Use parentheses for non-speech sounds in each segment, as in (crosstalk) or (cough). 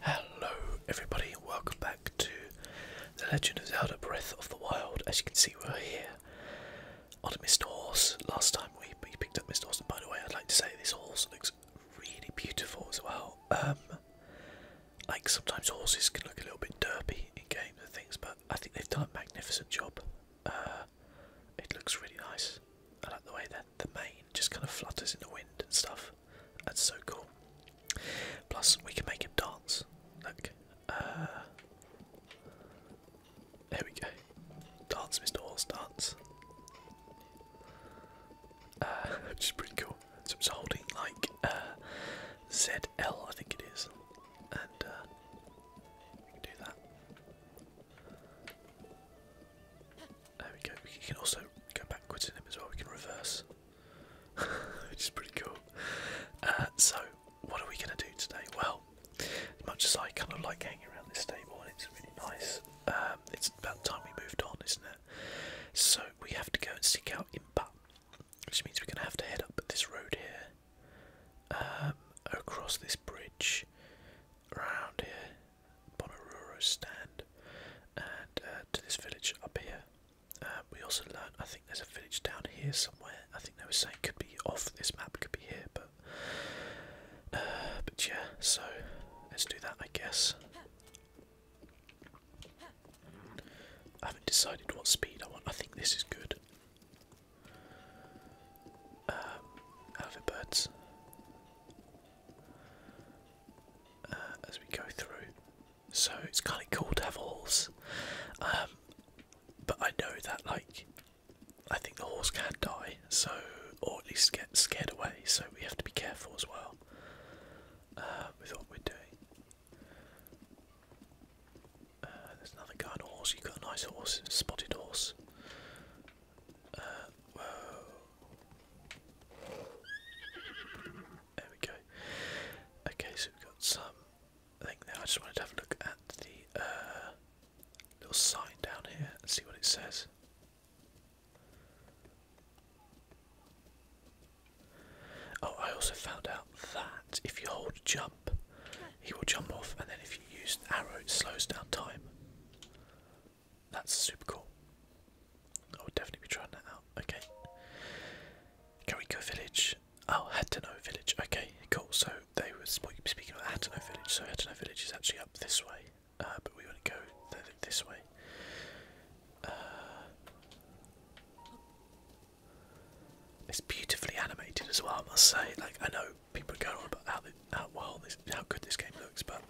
Hello, everybody, welcome back to The Legend of Zelda Breath of the Wild. As you can see, we're here on a mist horse. Last time we, we picked up Mist Horse, and by the way, I'd like to say this horse looks really beautiful as well. Um, like sometimes horses can look a little bit derpy in games and things, but I think they've done a magnificent job. Uh, it looks really nice. I like the way that the mane just kind of flutters in the wind and stuff. That's so cool. Plus, we can make him dance. Look. Uh, there we go. Dance, Mr. Horse, dance. Uh, (laughs) which is pretty cool. So it's holding like uh, ZL, I think it is. And do that. There we go. We can also go backwards in him as well. We can reverse, (laughs) which is pretty cool. Uh, so, what are we going to do today? Well, as much as I kind of like hanging around this stable and it's really nice, um, it's about time we moved on, isn't it? So, we have to go and seek out Impa, which means we're going to have to head up this road here, um, across this bridge, around here, Bonaruro stand and uh, to this village up here. Uh, we also learned, I think there's a village down here somewhere. I think they were saying could be off this map, could be here, but uh, but yeah. So let's do that, I guess. I haven't decided what speed I want. I think this is good. Um, birds. Uh, as we go through. So it's kind of cool to have a horse, but I know that like I think the horse can die, so or at least get scared away. So we have to be careful as well uh, with what we're doing. Uh, there's another guy on horse. You've got a nice horse, spotted horse. whoa, there we go. Okay, so we've got some I just want to have a look at the uh, little sign down here and see what it says. Oh, I also found out that if you hold jump, he will jump off, and then if you use arrow, it slows down time. That's super cool. I would definitely be trying that out. Okay. Kariko Village. Oh, Hatano Village. Okay, cool. So they were speaking about Hatano Village. So Hatano Village is actually up this way, uh, but we want to go this way. Uh, it's beautifully animated as well, I must say. Like I know people are going on about how well this, how good this game looks, but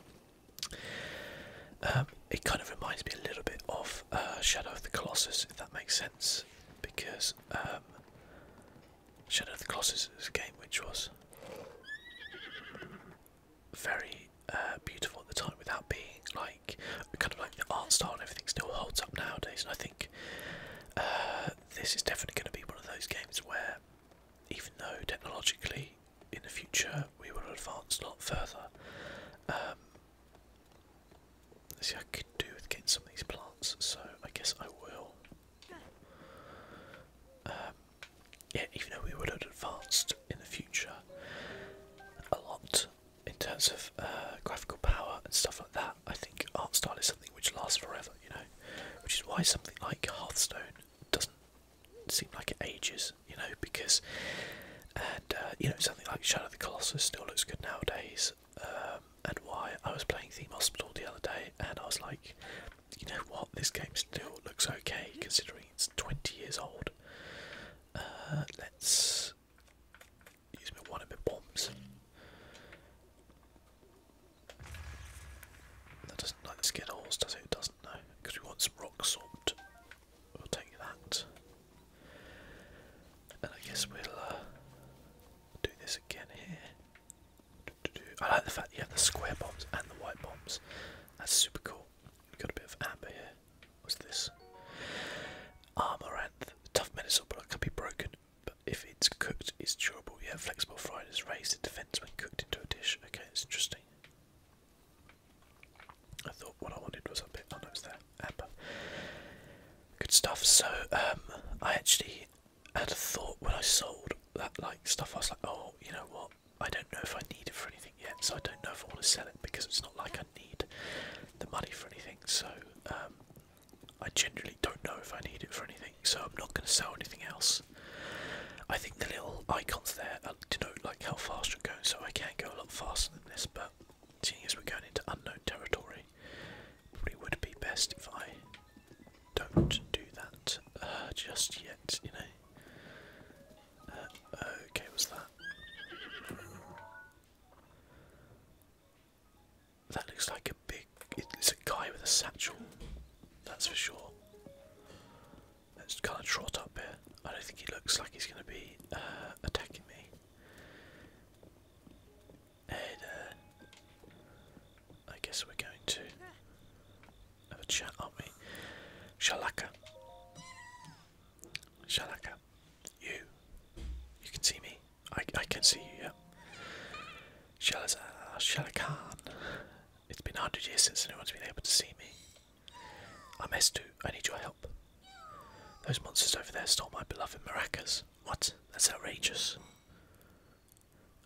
um, it kind of reminds me a little bit of uh, Shadow of the Colossus, if that makes sense, because um, Shadow of the Colossus is a game which was very uh, beautiful at the time without being like kind of like the art style and everything still holds up nowadays. And I think uh, this is definitely going to be one of those games where, even though technologically in the future we will advance a lot further. Um, see, I could do with getting some of these plants, so I guess I will. Um, yeah, even though we would have advanced in the future a lot in terms of uh, graphical power and stuff like that, I think art style is something which lasts forever, you know, which is why something like Hearthstone doesn't seemed like it ages, you know, because and uh, you know something like Shadow of the Colossus still looks good nowadays. Um, and why I was playing Theme Hospital the other day, and I was like, you know what, this game still looks okay considering it's 20 years old. Uh, let's use one of my bombs. That doesn't like the skin horse, does it? It doesn't does because we want some rock salt. We'll take that. And I guess we'll uh, do this again here. I like the fact you have the square bombs and the white bombs. That's super cool. we got a bit of amber here. What's this? Amaranth. Tough medicine, but it can be broken. But if it's cooked, it's durable. Yeah, flexible fried is raised in defense when cooked into a dish. Okay, it's interesting. I thought what I wanted was up here. Oh no, there. Amber. Good stuff. So, um, I actually had a thought when I sold that like stuff. I was like, oh, you know what? I don't know if I need it for anything yet, so I don't know if I want to sell it because it's not like I need the money for anything. So, um, I generally don't know if I need it for anything, so I'm not going to sell anything else. I think the little icons there denote like how far so I can go a lot faster than this, but seeing as we're going into unknown territory, probably would be best if I don't do that uh, just yet, you know. Uh, okay, was that? That looks like a big. It's a guy with a satchel, that's for sure. Let's kind of trot up here. I don't think he looks like he's going to be uh, attacking me. And uh, I guess we're going to have a chat, aren't we? Shalaka. Shalaka. You. You can see me. I, I can see you, yeah. Shalazar, Shalakan. It's been 100 years since anyone's been able to see me i must do. I need your help. Those monsters over there stole my beloved maracas. What? That's outrageous.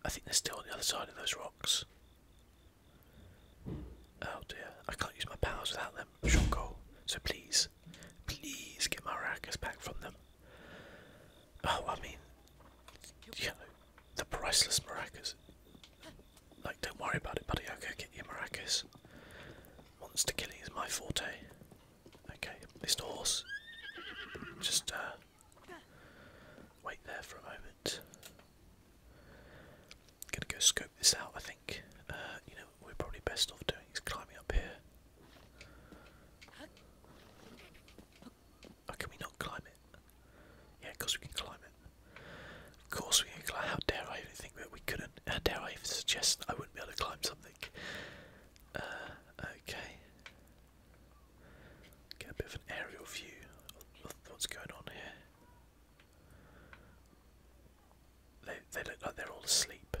I think they're still on the other side of those rocks. Oh dear. I can't use my powers without them. Shoko. So please, please get my maracas back from them. Oh, I mean, you know, the priceless maracas. Like, don't worry about it, buddy. Okay, will go get you maracas. Monster killing is my forte. Okay, this horse. Just uh, wait there for a moment. Gonna go scope this out. I think. Uh, you know, what we're probably best off doing is climbing up here. Oh, can we not climb it? Yeah, of we can climb it. Of course we can climb. How dare I even think that we couldn't? How dare I even suggest I wouldn't be able to climb something? Uh, okay. Get a bit of an aerial view of what's going on here. They, they look like they're all asleep,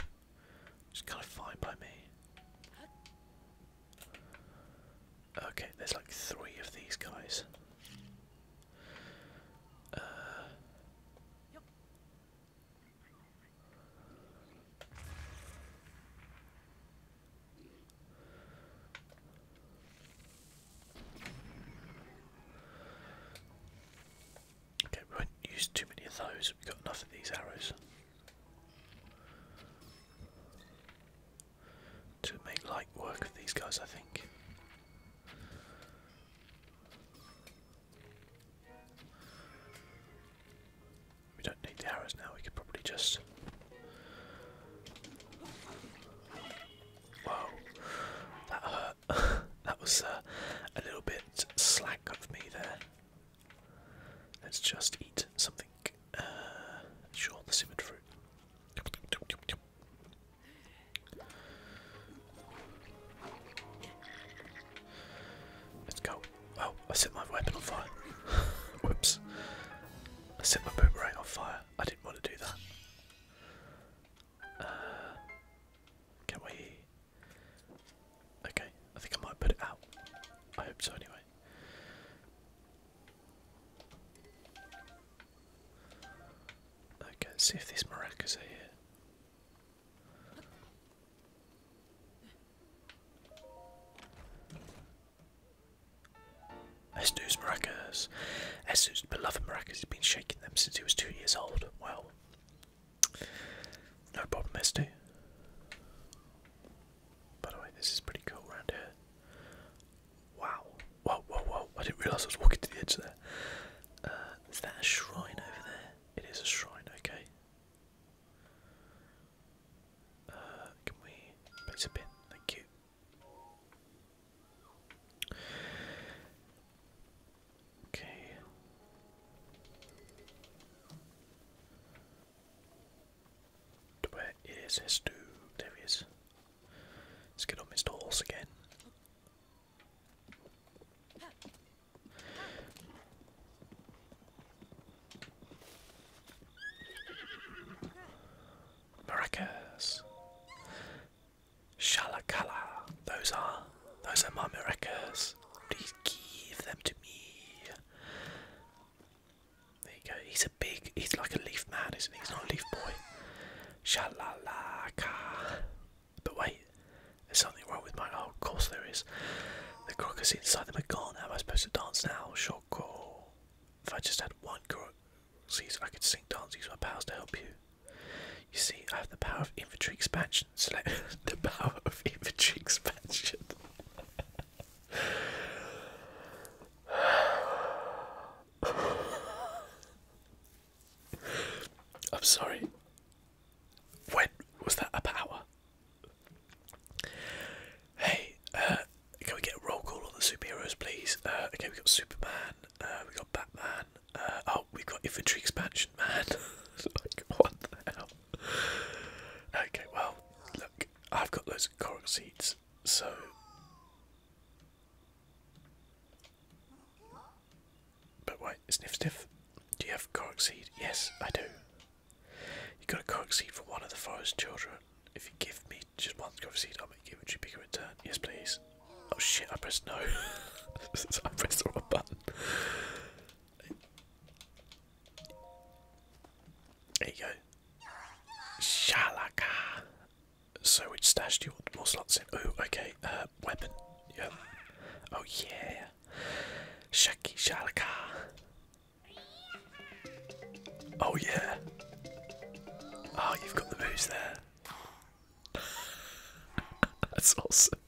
which kind of fine by me. Okay, there's like three of these guys okay, we won't use too many of those. We've got enough of these arrows to make light work of these guys, I think. We don't need the arrows now, we could probably just. Whoa, that hurt. (laughs) that was uh, a little bit slack of me there. Let's just eat something. Uh, sure, the simmered fruit. Let's go. Oh, I set my weapon on fire. (laughs) Whoops. I set my boomerang on fire. I didn't want to do that. Uh, can we... Okay, I think I might put it out. I hope so anyway. Okay, let's see if these maracas are here. Estu's maracas. Estu's beloved maracas has been shaking them since he was two years old. Well, no problem, Estu. By the way, this is pretty cool around here. Wow. Whoa, whoa, whoa! I didn't realise I was walking to the edge there. Uh, that a shrine over there? It is a shrine. Okay. Uh, can we place a pin? Thank you. Okay. Where is this dude? There he is. Let's get on Mr. Horse again. Maracas. Shalakala. Those are those are my maracas. Please give them to me. There you go. He's a big he's like a leaf man, He's not a leaf boy. Shalalaka. But wait, there's something wrong with my. Oh, of course there is. The crocus inside them are gone. How am I supposed to dance now? Shock call. If I just had one crocus, I could sing dance. Use my powers to help you. You see, I have the power of infantry expansion. (laughs) Select the power of infantry expansion. (laughs) I'm sorry. When was that a power? Hey, uh, can we get a roll call on the superheroes, please? Uh, okay, we got Superman, uh, we got Batman. oh, we got infantry expansion, man. (laughs) like, what the hell? Okay, well, look, I've got loads of seeds, so but wait, sniff sniff. Do you have cork seed? Yes, I do. You got a cork seed for one of the forest children. If you give me just one cork seed, I'll make you a bigger return. Yes, please. Oh shit, I pressed no. (laughs) I pressed the wrong button. There you go. Shalaka. So which stashed. do you want more slots in? Oh, okay. Uh, weapon. Yep. Oh yeah. Shaki Shalaka. Oh yeah. Oh, you've got the moves there. (laughs) That's awesome.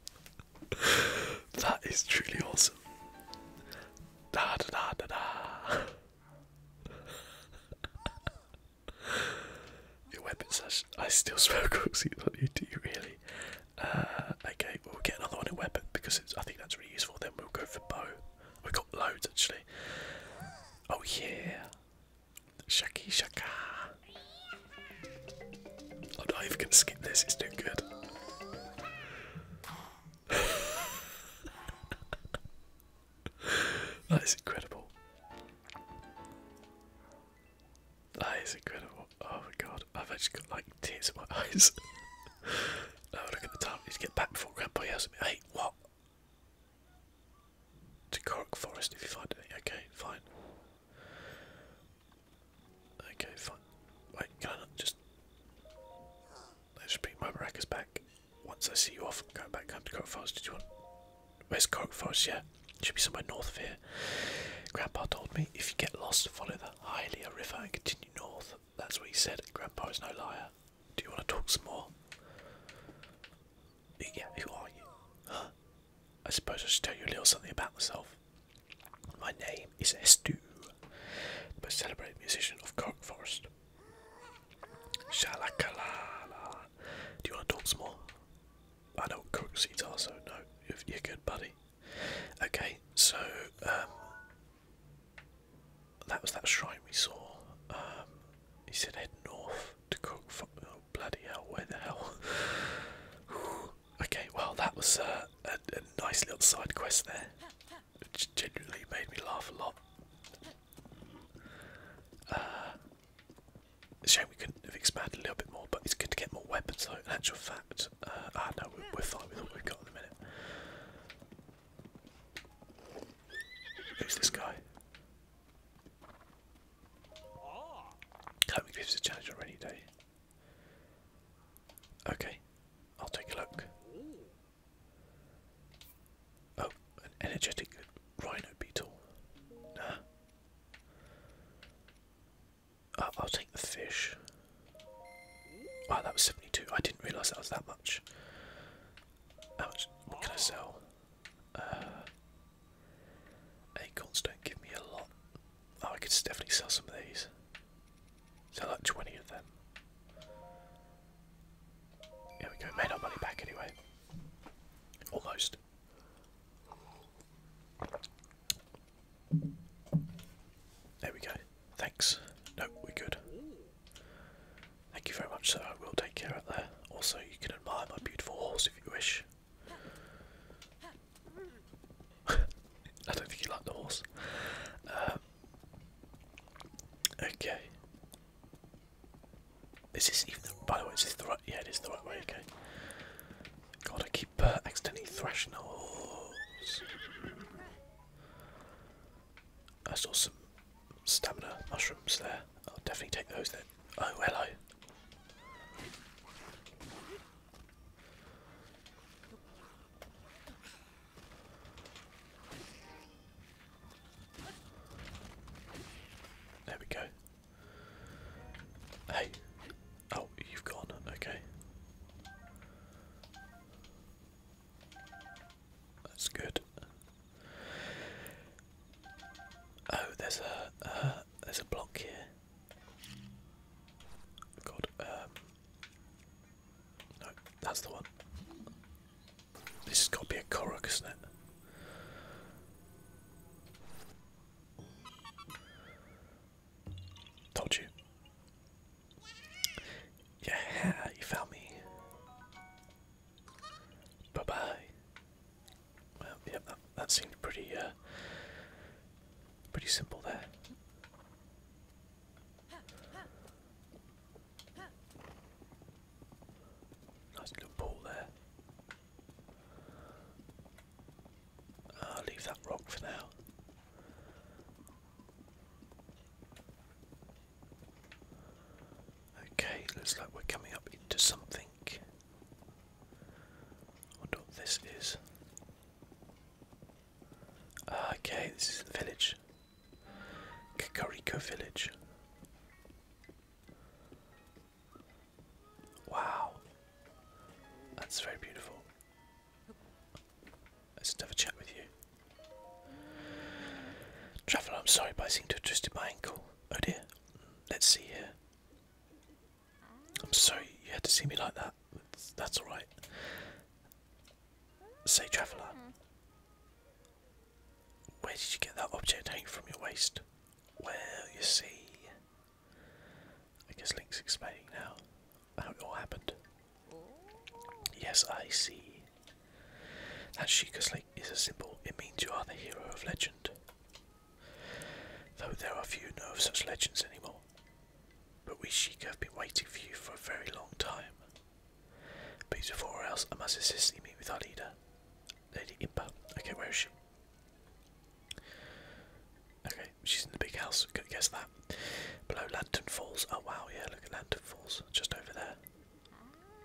that is truly awesome. da da da da. (laughs) Your weapon slash. I still (laughs) smoke." corpses on you, do really? Uh, okay, we'll get another one in weapon because I think that's really useful. Then we'll go for bow. We've got loads actually. Oh, yeah. Shaki Shaka. i do not even going to skip this, it's too good. (laughs) that is incredible. That is incredible. Oh my god, I've actually got like tears in my (laughs) eyes. oh, look at the time. Need to get back before Grandpa yells at me. Hey, what? To Cork Forest if you find it. Okay, fine. Okay, fine. Wait, can I not just. Let's just bring my maracas back. Once I see you off, I'm going back home to Cork Forest. Did you want. Where's Cork Forest? Yeah, should be somewhere north of here. Grandpa told me if you get lost, follow the Hylia River and continue north. That's what he said. Grandpa is no liar. Do you want to talk some more? Yeah, who are you? I suppose I should tell you a little something about myself. My name is Estu, the most celebrated musician of Cork Forest. Shalakalala. Do you want to talk some more? I know what crook seeds so no, you're, good, buddy. Okay, so um, that was that shrine we saw. Um, he said head north to crook. Oh, bloody hell! Where the hell? (sighs) okay, well that was uh, a, a nice little side quest there, which genuinely made me laugh a lot. Uh, Shame we couldn't have expanded a little bit more, but it's good to get more weapons though. In actual fact, uh, ah no, we're, fine with what we've got at the minute. Who's this guy? Hope it gives a challenge on rainy day. Okay, I'll take a look. Oh, an energetic rhino beetle. Nah, uh, I'll take the fish. Wow, that was 72. I didn't realise that was that much. How much? What can I sell? Uh, acorns don't give me a lot. Oh, I could definitely sell some of these. Sell like 20 of them. There we go, made our money back anyway. Almost. There we go. Thanks. No, we're good. Thank you very much, sir. I will take care of that. Also, you can admire my beautiful horse if you wish. (laughs) I don't think you like the horse. Um, okay. This Is even by the way, is the right, yeah it is the right way, okay. God, I keep accidentally uh, thrashing the horse. I saw some stamina mushrooms there. I'll definitely take those then. Oh, hello. There we go. Hey. Oh, you've gone. Okay. That's good. Oh, there's a uh, there's a block here. God, um, no, that's the one. This has got to be a Korok, isn't it? Told you. Yeah, you found me. Bye bye. yep, that, seemed pretty, uh, pretty simple there. Nice little pool there. I'll leave that rock for now. Okay, looks like we're coming up into something. I wonder what this is. Ah, okay, this is the village. Kakariko village. Wow. That's very beautiful. Let's just have a chat with you. Traveller, I'm sorry, but I seem to have twisted my ankle. Oh dear. Let's see here. I'm sorry you had to see me like that. That's alright. Say, Traveller, where did you get that object hanging from your waist? Well, you see, I guess Link's explaining now how it all happened. Yes, I see. That Sheikah's Link is a symbol. It means you are the hero of legend. Though there are few know of such legends anymore. But we Sheikah have been waiting for you for a very long time. But before else, I must assist thee meet with our leader. Lady Impa. Okay, where is she? Okay, she's in the big house. Could guess that. Below Lantern Falls. Oh wow, yeah, look at Lantern Falls, just over there.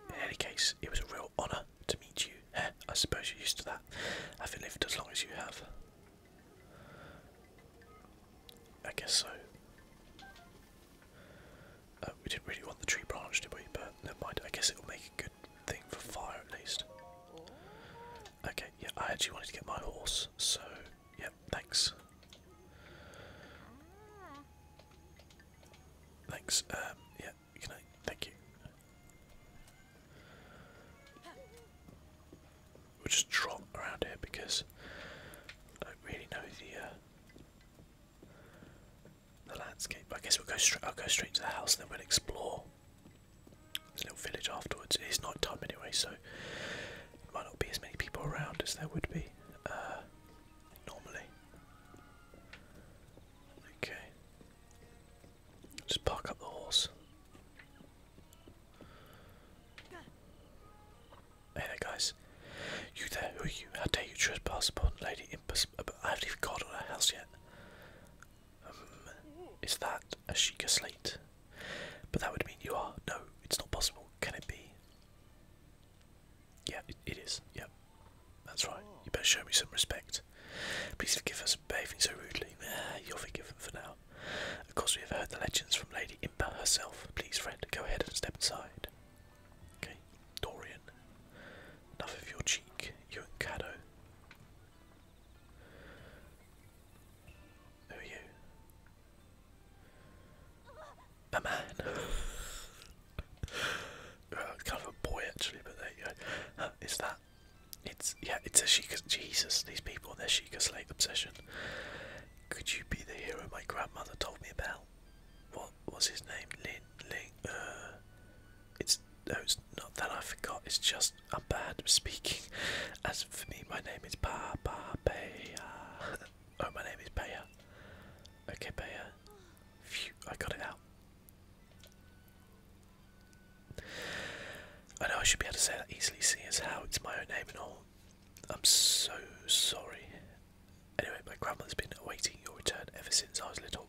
In any case, it was a real honour to meet you. Eh, I suppose you're used to that, having lived as long as you have. I guess so. Uh, we didn't really want the tree branch, did we? But never mind. I guess it will make a good thing for fire at least. Okay, yeah, I actually wanted to get my horse, so yeah, thanks. Thanks, um, yeah, can I, thank you. We'll just trot around here because I don't really know the, uh, the landscape. I guess we'll go straight, I'll go straight to the house and then we'll explore there's little village afterwards. It is not time anyway, so there might not be as many people around as there would be uh, normally. Okay. Just park up the horse. Hey there, guys. You there, who are you? How dare you trespass upon Lady Impus? I haven't even on her house yet. Um, is that a Sheikah Slate? But that would mean you are. No, it's not possible. Can it be? Yeah, it is. Yep. That's right. You better show me some respect. Please forgive us for behaving so rudely. You'll forgive them for now. Of course, we have heard the legends from Lady Imba herself. Please, friend, go ahead and step inside. Okay, Dorian. Enough of your cheek, you and Caddo. Who you? A man. kind of a boy actually, but there you go. is that? It's yeah. It's a Sheikah. Jesus, these people and their Sheikah Slate obsession. Could you be the hero my grandmother told me about? What was his name? Lin Ling. Uh, it's no, it's not that I forgot. It's just I'm bad at speaking. As for me, my name is Pa Pa Paya. (laughs) oh, my name is Paya. Okay, Paya. Phew, I got it out. I know I should be able to say that easily, seeing as how it's my own name and all. I'm so sorry. Anyway, my grandmother's been awaiting your return ever since I was little.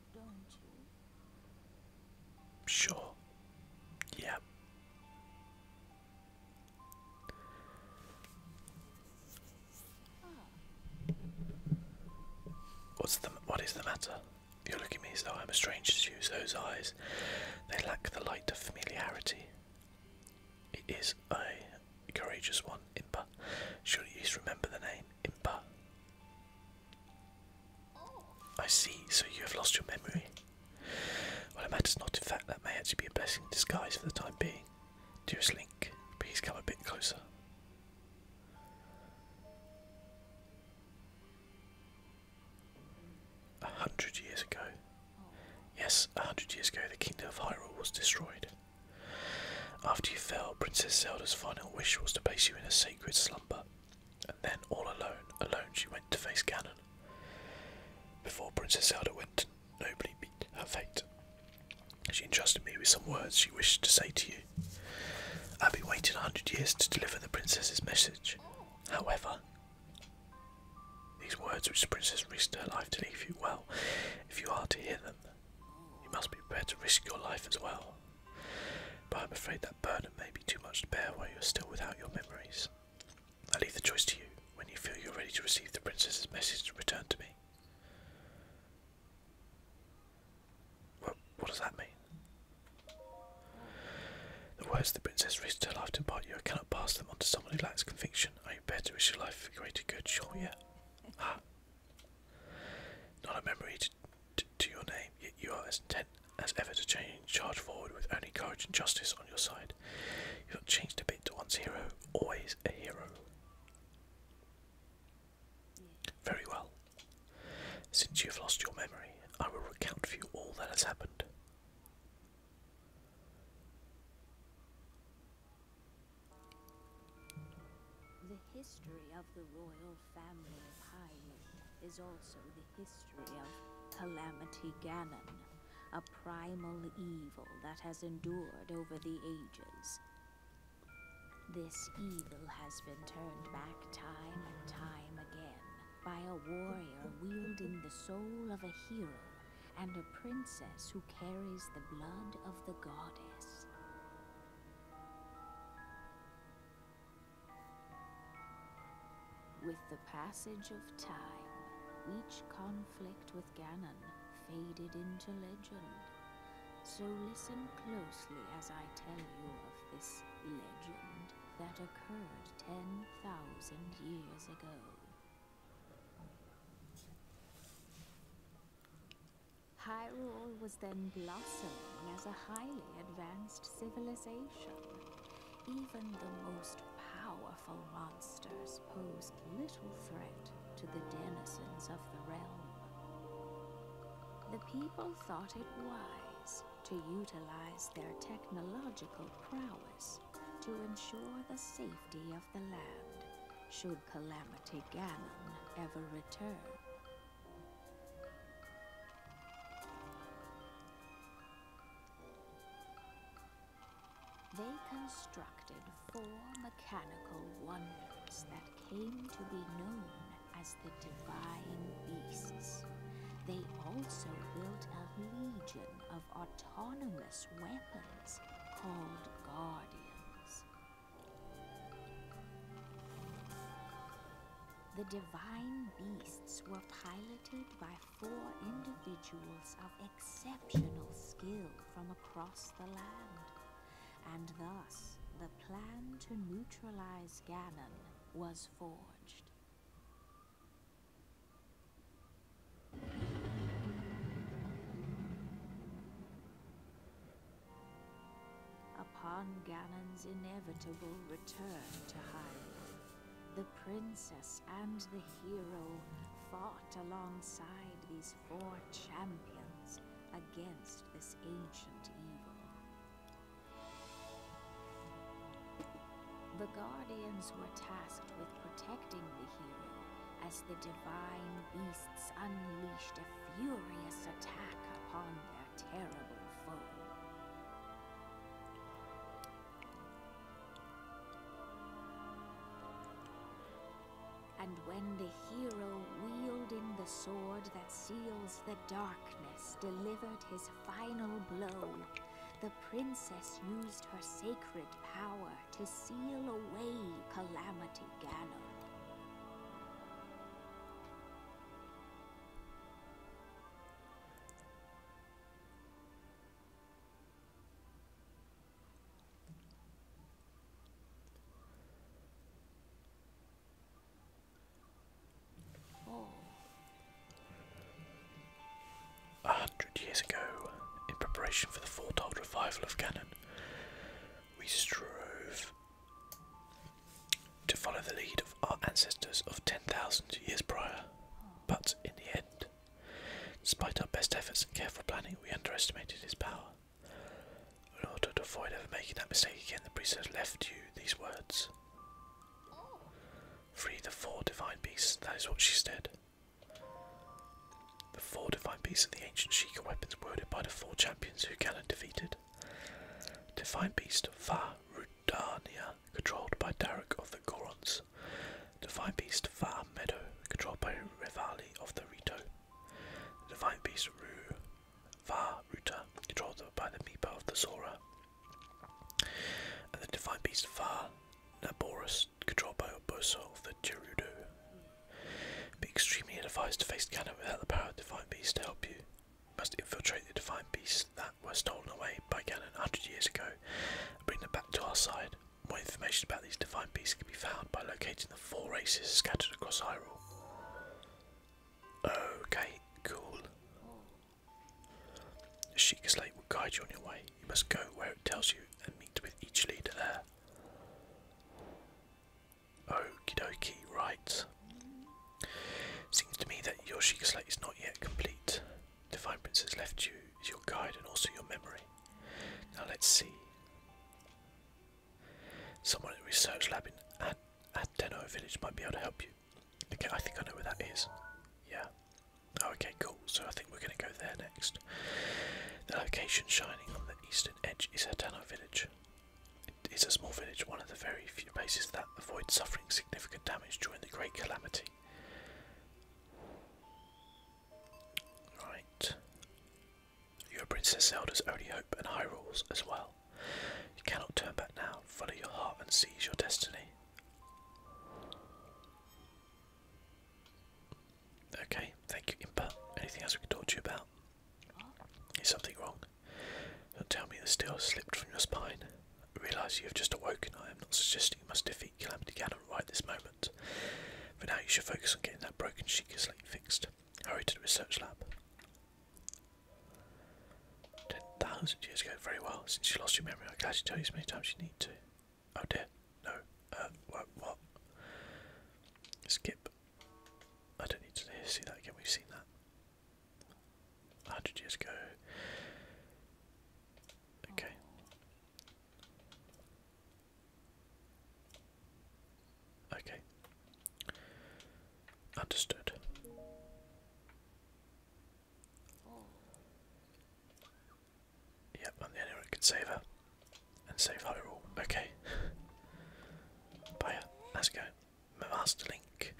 don't you? Sure. Yeah. What's the what is the matter? You look at me as though I'm a stranger to use Those eyes, they lack the light of familiarity. It is a courageous one, Impa. Surely you remember the name. I see, so you have lost your memory. Well, it matters not, in fact, that may actually be a blessing in disguise for the time being. Dearest Link, please come a bit closer. A hundred years ago. Yes, a hundred years ago, the kingdom of Hyrule was destroyed. After you fell, Princess Zelda's final wish was to place you in a sacred slumber number, and then all alone, alone she went to face cannon. Before Princess Zelda went nobly meet her fate, she entrusted me with some words she wished to say to you. I've been waiting a hundred years to deliver the princess's message. However, these words which the princess risked her life to leave you well, if you are to hear them, you must be prepared to risk your life as well. But I'm afraid that burden may be too much to bear while you're still without your memories. I leave the choice to you. When you feel you're ready to receive the princess's message, return to me. what does that mean? The words the princess reached her life to impart you, I cannot pass them on to someone who lacks conviction. Are you better risk your life for greater good? Sure, yeah. Ah, not a memory to, your name, yet you are as intent as ever to charge forward with only courage and justice on your side. You've not changed a bit to once hero, always a hero. Very well. Since you have lost your memory, I will recount for you all that has happened. The history of the royal family of Hyrule is also the history of Calamity Ganon, a primal evil that has endured over the ages. This evil has been turned back time and time again by a warrior wielding the soul of a hero and a princess who carries the blood of the goddess. With the passage of time, each conflict with Ganon faded into legend. So listen closely as I tell you of this legend that occurred 10,000 years ago. Hyrule was then blossoming as a highly advanced civilization. Even the most powerful monsters posed little threat to the denizens of the realm. The people thought it wise to utilize their technological prowess to ensure the safety of the land should Calamity Ganon ever return. They constructed four mechanical wonders that came to be known as the Divine Beasts. They also built a legion of autonomous weapons called Guardians. The divine beasts were piloted by four individuals of exceptional skill from across the land, and thus the plan to neutralize Ganon was forged. Upon Ganon's inevitable return to Hyrule, the princess and the hero fought alongside these four champions against this ancient evil. The Guardians were tasked with protecting the hero as the divine beasts unleashed a furious attack upon them. And when the hero wielding the sword that seals the darkness delivered his final blow, the princess used her sacred power to seal away Calamity Ganon. A hundred years ago, in preparation for the foretold revival of Canon, we strove to follow the lead of our ancestors of 10,000 years prior. But in the end, despite our best efforts and careful planning, we underestimated his power. In order to avoid ever making that mistake again, the priest has left you these words. Free the four divine beasts, that is what she said. The four divine beasts are the ancient Sheikah weapons wielded by the four champions who Ganon defeated. Divine beast Fa Rudania, controlled by Derek of the Gorons. Divine Beast Far Meadow, controlled by Revali of the Rito. The Divine Beast Ru Va Ruta, controlled by the Meepo of the Zora. And the Divine Beast Va Naborus, controlled by Oboso of the Gerudo. Be extremely advised to face Ganon without the power of Divine Beast to help you must infiltrate the divine beasts that were stolen away by Ganon 100 years ago and bring them back to our side. More information about these divine beasts can be found by locating the four races scattered across Hyrule. Okay, cool. The Sheikah Slate will guide you on your way. You must go where it tells you and meet with each leader there. Okie dokie, right. Seems to me that your Sheikah slate is not yet complete. The Divine Prince has left you as your guide and also your memory. Now let's see. Someone at the research lab in Ad Adeno Village might be able to help you. Okay, I think I know where that is. Yeah. Oh, okay, cool. So I think we're going to go there next. The location shining on the eastern edge is Adeno Village. It is a small village, one of the very few places that avoided suffering significant damage during the Great Calamity. Right. You are Princess Zelda's only hope and Hyrule's as well. You cannot turn back now. Follow your heart and seize your destiny. Okay, thank you, Impa. Anything else we can talk to you about? Is something wrong? You'll tell me the steel slipped from your spine. Realise you have just awoken. I am not suggesting you must defeat Calamity Ganon right this moment. but now, you should focus on getting that broken Sheikah fixed. Hurry to the research lab. Ten thousand years ago, very well. Since you lost your memory, I'm glad you tell you as many times you need to. Oh dear, no. Uh, what? What? Skip. I don't need to see that again. We've seen that. 100 years ago. Okay. Okay. Understood. Yep, i the only one can save her. And save Hyrule. Okay. (laughs) Bye. Let's go. Masterlink.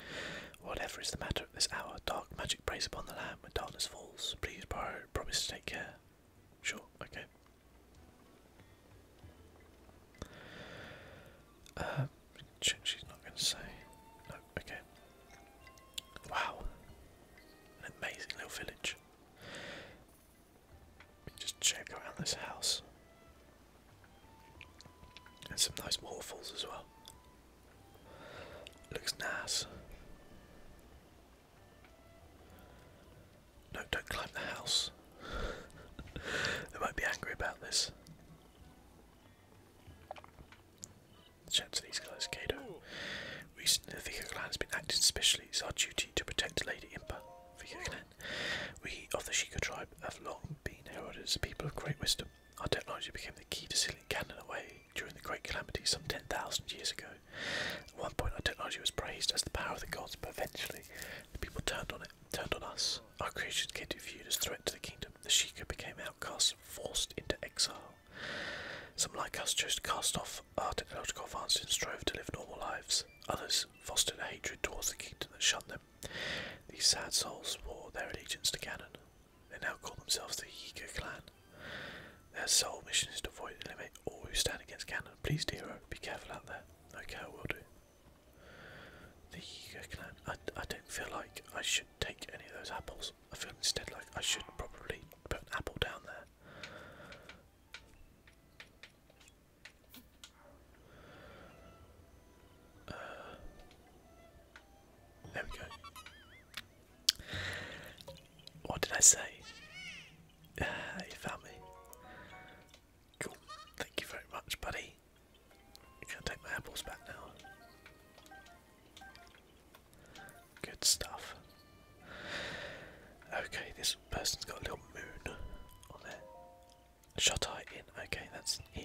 Whatever is the matter at this hour, dark magic preys upon the land when darkness falls. Please promise to take care. Sure, okay. Uh, she's not going to say. No, okay. Wow. An amazing little village. Just check around this house. And some nice waterfalls as well. Looks nice. No, don't climb the house. they (laughs) might be angry about this. Chat to these guys, Kato. Recently, the Vika clan has been acting specially. It's our duty to protect Lady Impa, Vika clan. We of the Shika tribe have long been heralded as a people of great wisdom our technology became the key to sealing Cannon away during the Great Calamity some 10,000 years ago. At one point, our technology was praised as the power of the gods, but eventually the people turned on it, turned on us. Our creations came to be viewed as threat to the kingdom. The Sheikah became outcasts, forced into exile. Some like us chose to cast off our technological advances and strove to live normal lives. Others fostered a hatred towards the kingdom that shut them. These sad souls swore their allegiance to Cannon. They now call themselves the Yiga clan. Their sole mission is to avoid and eliminate all who stand against Canada. Please, Dero, be careful out there. Okay, I will do. The Yiga clan. I, I don't feel like I should take any of those apples. I feel instead like I should probably put an apple down there. Uh, there we go. What did I say? (sighs) you found me. Cool. Thank you very much, buddy. You can take my apples back now. Good stuff. Okay, this person's got a little moon on there. Shot eye in. Okay, that's in.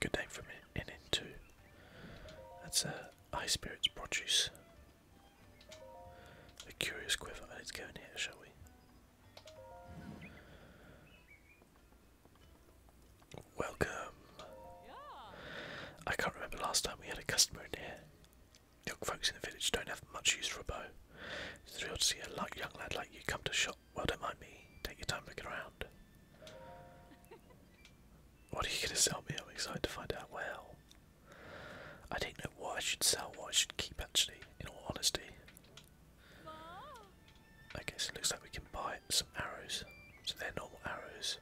Good name for an inn too. That's a uh, high spirits produce. A curious quiver. Let's go here, shall we? Welcome. I can't remember last time we had a customer in here. Young folks in the village don't have much use for a bow. It's thrilled to see a young lad like you come to shop. Well, don't mind me. Take your time looking around. What are you going to sell me? I'm excited to find out. Well, I don't know what I should sell, what I should keep actually, in all honesty. Okay, so it looks like we can buy some arrows. So they're normal arrows.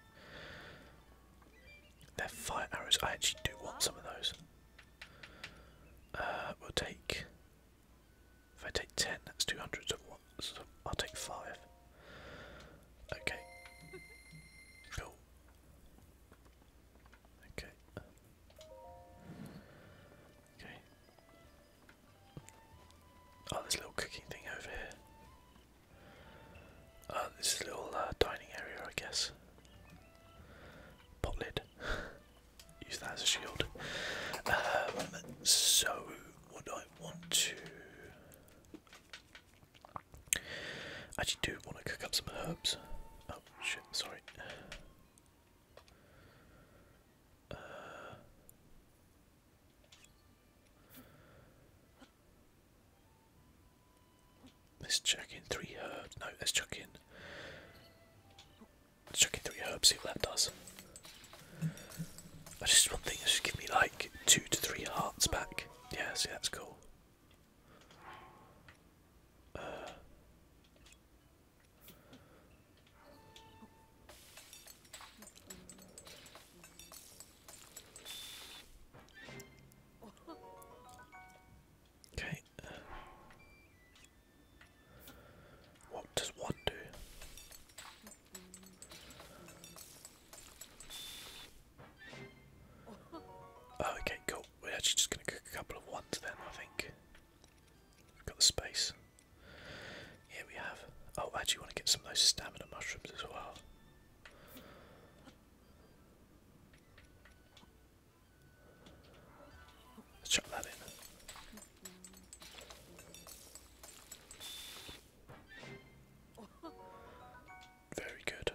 They're fire arrows. I actually do want some of those. Uh, we'll take if I take 10, that's 200, so, what, I'll take 5. Okay. Cool. Okay. Okay. Oh, this little cooking thing over here. Uh, this little uh, dining area, I guess. Pot lid. (laughs) Use that as a shield. Um, so, what do want to. I actually do want to cook up some herbs. Oh shit, sorry. Uh, let's chuck in three herbs. No, let's chuck in. Let's chuck in three herbs, see what that I just one thing is just give me like two to three hearts back. Yeah, see that's cool. Uh. okay. Uh. what does one do? Oh, okay, cool. We're actually just going to cook a couple of ones then, I think. We've got the space. Here we have. Oh, I actually want to get some of those stamina mushrooms as well. Let's chuck that in. Very good.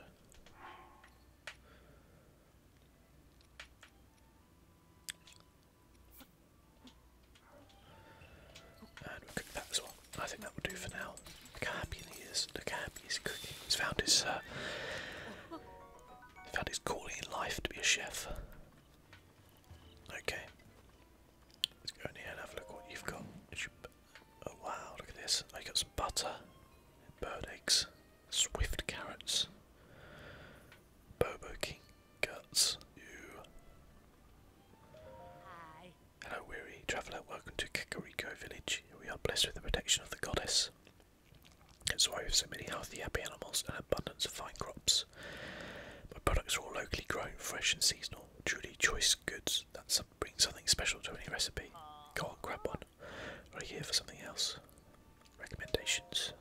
And we cook that as well. I think that will do for now. Look how happy he is. Look how happy he's cooking. He's found his uh, found his calling in life to be a chef. Okay. Let's go in here and have a look what you've got. Oh wow, look at this. I got some butter, bird eggs, swift carrots, bobo guts, Hi. Hello weary traveller, welcome to Kakariko village. We are blessed with the protection of the goddess. That's why we have so many healthy, happy animals and abundance of fine crops products. My products are all locally grown, fresh and seasonal. Truly choice goods that brings something special to any recipe. Go on, grab one. Are you here for something else. Recommendations.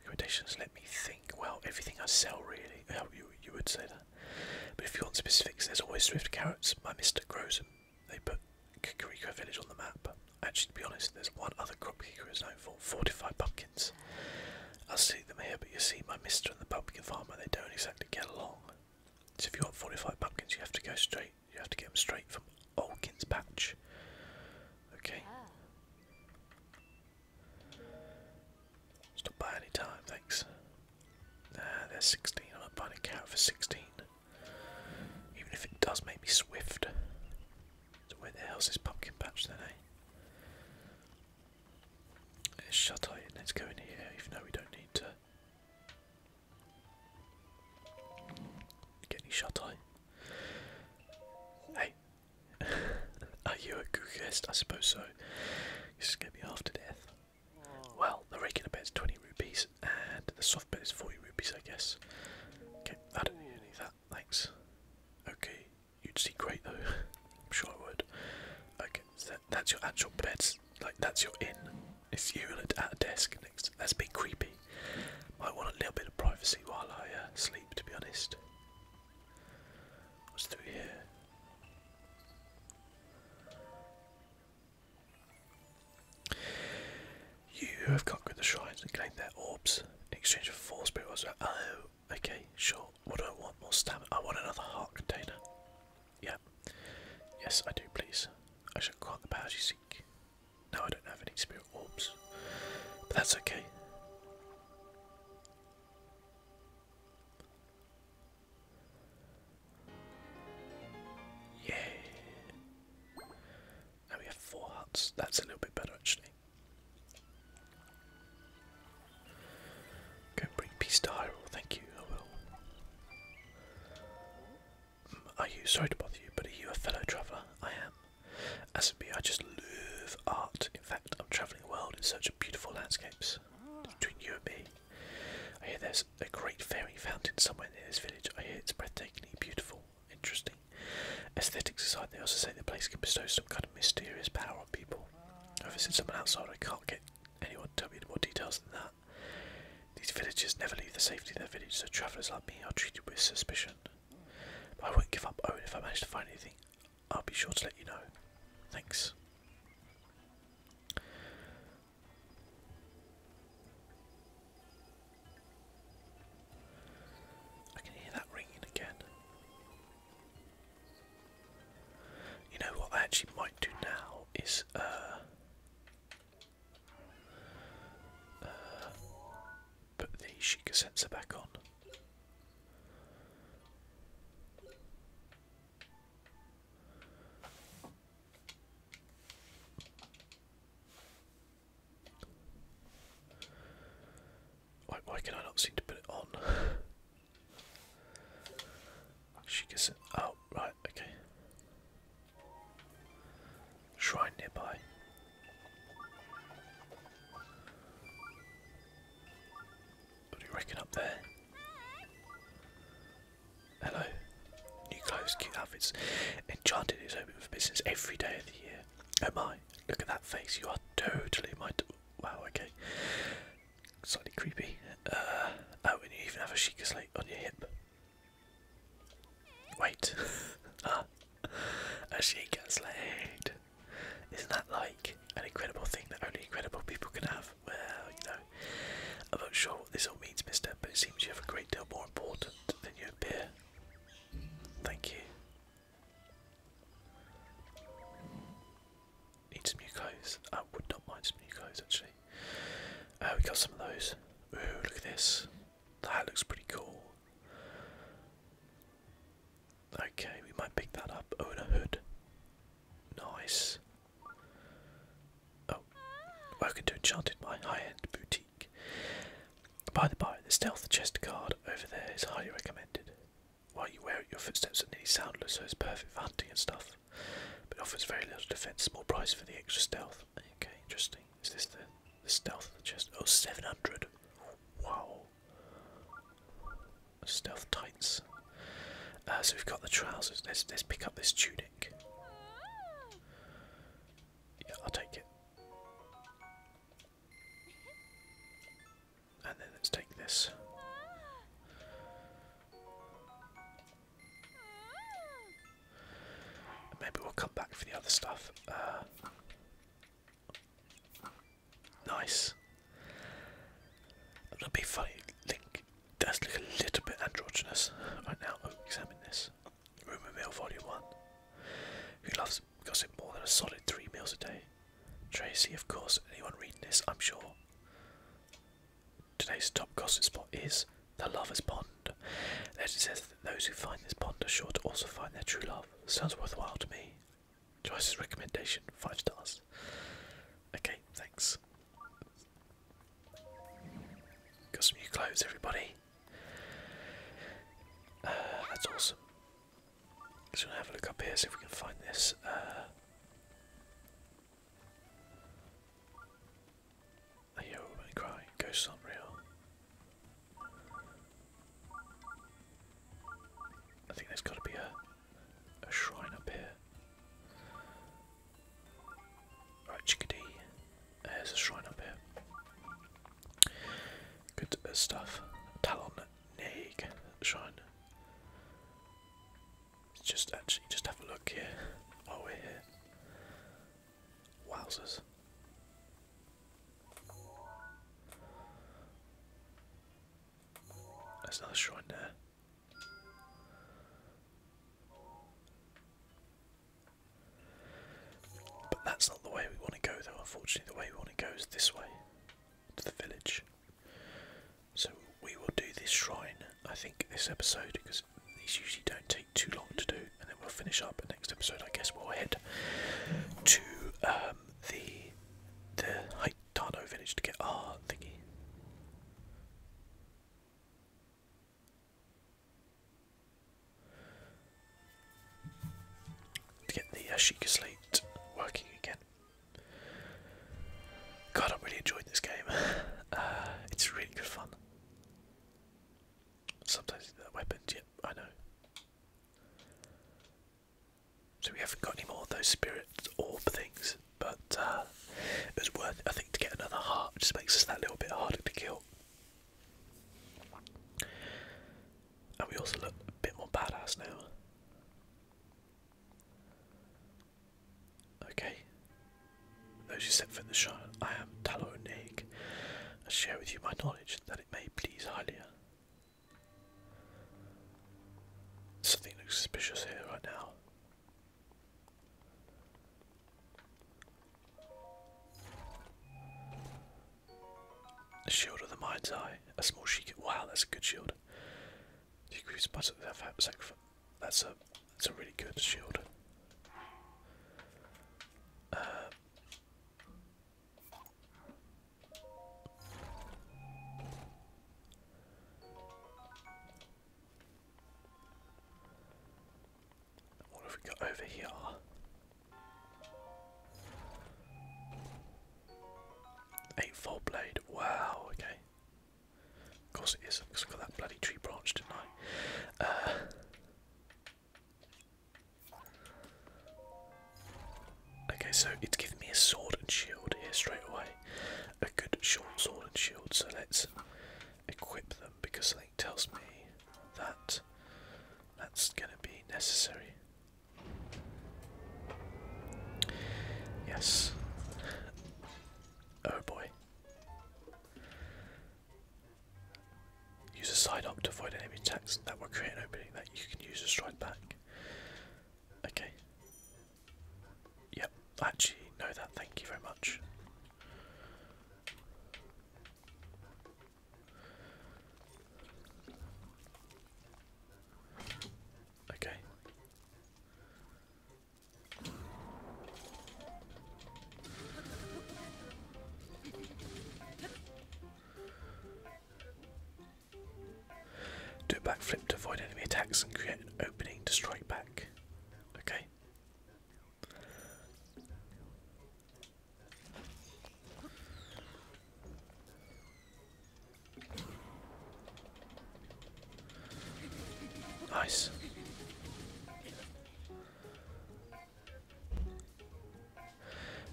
Recommendations. Let me think. Well, everything I sell really. Well, you would say that. But if you want specifics, there's always Swift Carrots. by mister grows They put Kakariko Village on the map. Actually, to be honest, there's one other crop Kiko is known for: fortified pumpkin pumpkins. I see them here, but you see, my mister and the pumpkin farmer, they don't exactly get along. So if you want 45 pumpkins, you have to go straight, you have to get them straight from Olkin's patch. Okay. Stop by time, thanks. Nah, they're 16. I'm not buying a cow for 16. Even if it does make me swift. where the hell's this pumpkin patch then, eh? Let's shut eye and let's go in here, even though we don't need to get any shut eye. Hey, (laughs) are you a Googest? I suppose so. This is going to be to death. Well, the regular bed is 20 rupees and the soft bed is 40 rupees, I guess. Okay, I don't need any of that, thanks. Okay, You'd see great though. (laughs) I'm sure I would. Okay, that's your actual bed. Like that's your inn. It's you at a desk next. That's a bit creepy. Might want a little bit of privacy while I uh, sleep, to be honest. What's through here? You have conquered the shrines and claimed their orbs in exchange for four spirit orbs. Uh, oh, okay, sure. What do I want? More stamina. I want another heart container. Yeah. Yes, I do, please. I shall grant the powers you seek. No, I don't have any spirit orbs. But that's okay. Yeah. Now we have four hearts. That's a little bit better, actually. Go bring peace to Hyrule, thank you, I will. Mm, are you, sorry to bother you, but are you a fellow traveller? I am. As it be, I just love art. In fact, I'm travelling the world in search of beautiful landscapes. Between you and me. I hear there's a great fairy fountain somewhere near this village. I hear it's breathtakingly beautiful, interesting. Aesthetics aside, they also say the place can bestow some kind of mysterious power on people. I visited someone outside, I can't get anyone to tell me any more details than that. These villagers never leave the safety of their village, so travellers like me are treated with suspicion. I won't give up, Owen. If I manage to find anything, I'll be sure to let you know. Thanks. I can hear that ringing again. You know what I actually might do now is uh, uh, put the Sheikah sensor back on. why can I not seem to put it on? (laughs) She gets it. Oh, right, okay. Shrine nearby. What do you reckon up there? Hello. New clothes, cute outfits. Enchanted is open for business every day of the year. Oh my, look at that face. You are totally my. Wow, okay. Slightly creepy. Uh, oh, and you even have a Sheikah Slate on your hip. Wait. (laughs) ah, a Sheikah Slate. Isn't that like an incredible thing that only incredible people can have? Well, you know, I'm not sure what this all means, mister, but it seems you have a great deal more important than you appear. Thank you need some new clothes. I would not mind some new clothes actually. Uh, we got some of those. Ooh, look at this. That looks pretty cool. Okay, we might pick that up. Oh, a hood. Nice. Oh, welcome to Enchanted, my high-end boutique. By the by, the stealth chest card over there is highly recommended. Why you wear it, your footsteps are nearly soundless, so it's perfect for hunting and stuff. But offers very little defense, small price for the extra stealth. Okay, interesting. Is this the, the stealth chest? Oh, 700. Wow. Stealth tights. Uh, so we've got the trousers. Let's, let's pick up this tunic. Yeah, I'll take it. And then let's take this. maybe we'll come back for the other stuff. Uh, nice. That'd be funny. Link does look a little bit androgynous right now. Oh, examine this. Rumour Mill Volume 1. Who loves gossip more than a solid three meals a day? Tracy, of course, anyone reading this, I'm sure. Today's top gossip spot is the Lover's Pond. It says that those who find this pond are sure to also find their true love. Sounds worthwhile to me. Joyce's recommendation, five stars. Okay, thanks. Got some new clothes, everybody. Uh, that's awesome. Just gonna have a look up here, see if we can find this. Uh, I hear a crying, ghosts aren't real. I think there's gotta be a a shrine up here. Right, chickadee. There's a shrine up here. Good uh, stuff. Talon Naig shrine just actually just have a look here while we're here. Wowzers. There's another shrine there. But that's not the way we want to go though, unfortunately the way we want to go is this way, to the village. So we will do this shrine, I think, this episode because these usually don't take too long to do, and then we'll finish up. And next episode, I guess, we'll head to um, the the Haitano village to get our thingy. To get the Ashika uh, slate working again. God, I really enjoyed this game. (laughs) Uh, it's really good fun. Sometimes that weapon, yep, I know. So we haven't got any more of those spirit orb things, but uh, it was worth it, I think, to get another heart, which just makes us that little bit harder to kill. And we also look a bit more badass now. Okay. Those who set foot the shrine, I am Taloneg. I share with you my knowledge that it may please Haliya. Something looks suspicious here right now. shield of the mind's eye, a small sheik. Wow, that's a good shield. The creeps must have sacrificed. That's a that's a really good shield. Uh, what have we got over here? Eightfold blade. Wow. Okay. Of course it is, because I got that bloody tree branch, didn't I? Uh, okay, so it's giving me a sword and shield here straight away. A good short sword and shield, so let's equip them because something tells me that that's going to be necessary. Yes. Oh boy. Use a side up to avoid any attacks that will create an opening that you can use to stride back. Okay. Yep, actually know that, thank you very much. Okay. Do a backflip to avoid enemy attacks and create an opening to strike back. Okay. Nice.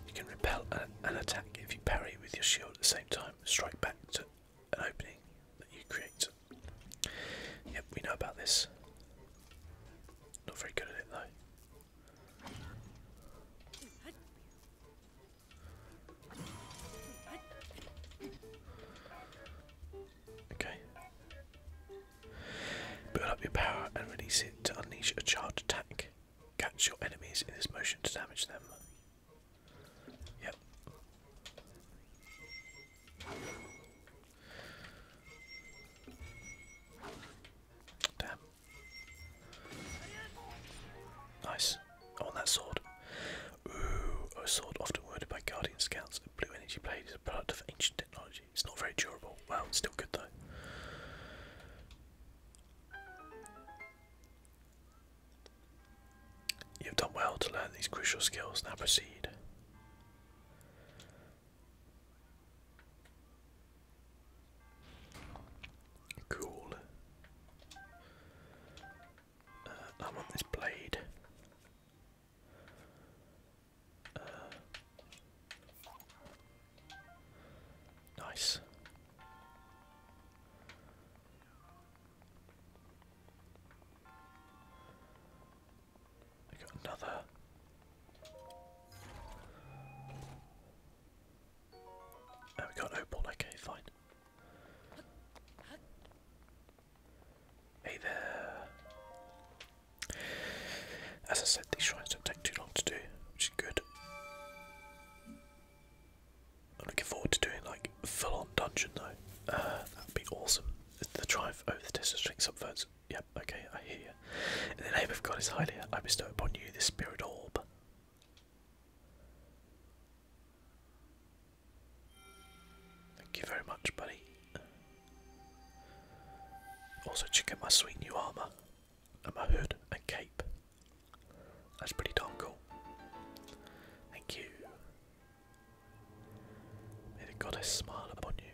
You can repel an, attack if you parry with your shield at the same time. Strike back to an opening that you create. Yep, we know about this. Not very good at it though. Okay. Build up your power and release it to unleash a charged attack. Catch your enemies in this motion to damage them. Yep. Damn. Nice. On that sword. Ooh, a sword often wielded by Guardian Scouts. A blue energy blade is a product of ancient technology. It's not very durable. Well, it's still good though. You've done well to learn these crucial skills. Now proceed. Cool. Uh, I want this blade. Uh, nice. We got another. Oh, we got an opal. Okay, fine. Hey there. As I said, these shrines don't take too long to do, which is good. I'm looking forward to doing like full on dungeon though. Uh, that'd be awesome. The triumph over the district subverts. Yep, okay, I hear you. In the name of God is highly, I bestow upon you the spirit orb. Thank you very much, buddy. Also, check out my sweet new armour, and my hood and cape. That's pretty darn cool. Thank you. May the goddess smile upon you.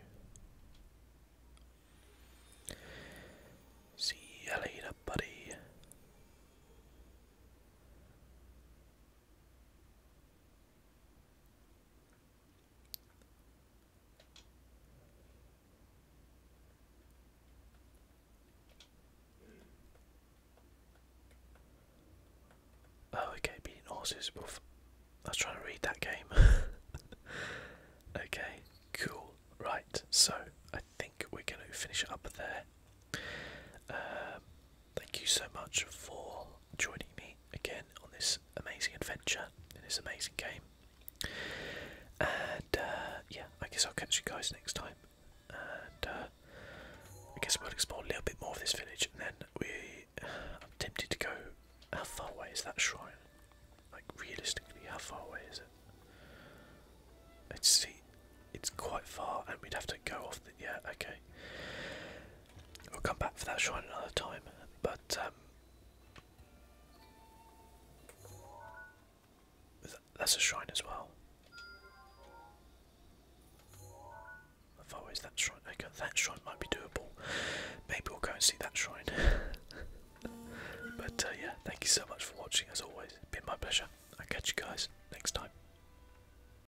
See you later, buddy. Oh, okay, beating horses. I was trying to read that game. (laughs) okay, cool. Right, so I think we're going to finish up there. Um, Thank you so much for joining me again on this amazing adventure in this amazing game. And uh, yeah, I guess I'll catch you guys next time. And uh, I guess we'll explore a little bit more of this village, and then we. I'm tempted to go. How far away is that shrine? Like realistically, how far away is it? Let's see. It's quite far, and we'd have to go off Yeah, okay. We'll come back for that shrine another time, but um, that's a shrine as well. How far away that shrine? that shrine might be doable. Maybe we'll go and see that shrine. (laughs) but uh, yeah, thank you so much for watching. As always, been my pleasure. I'll catch you guys next time.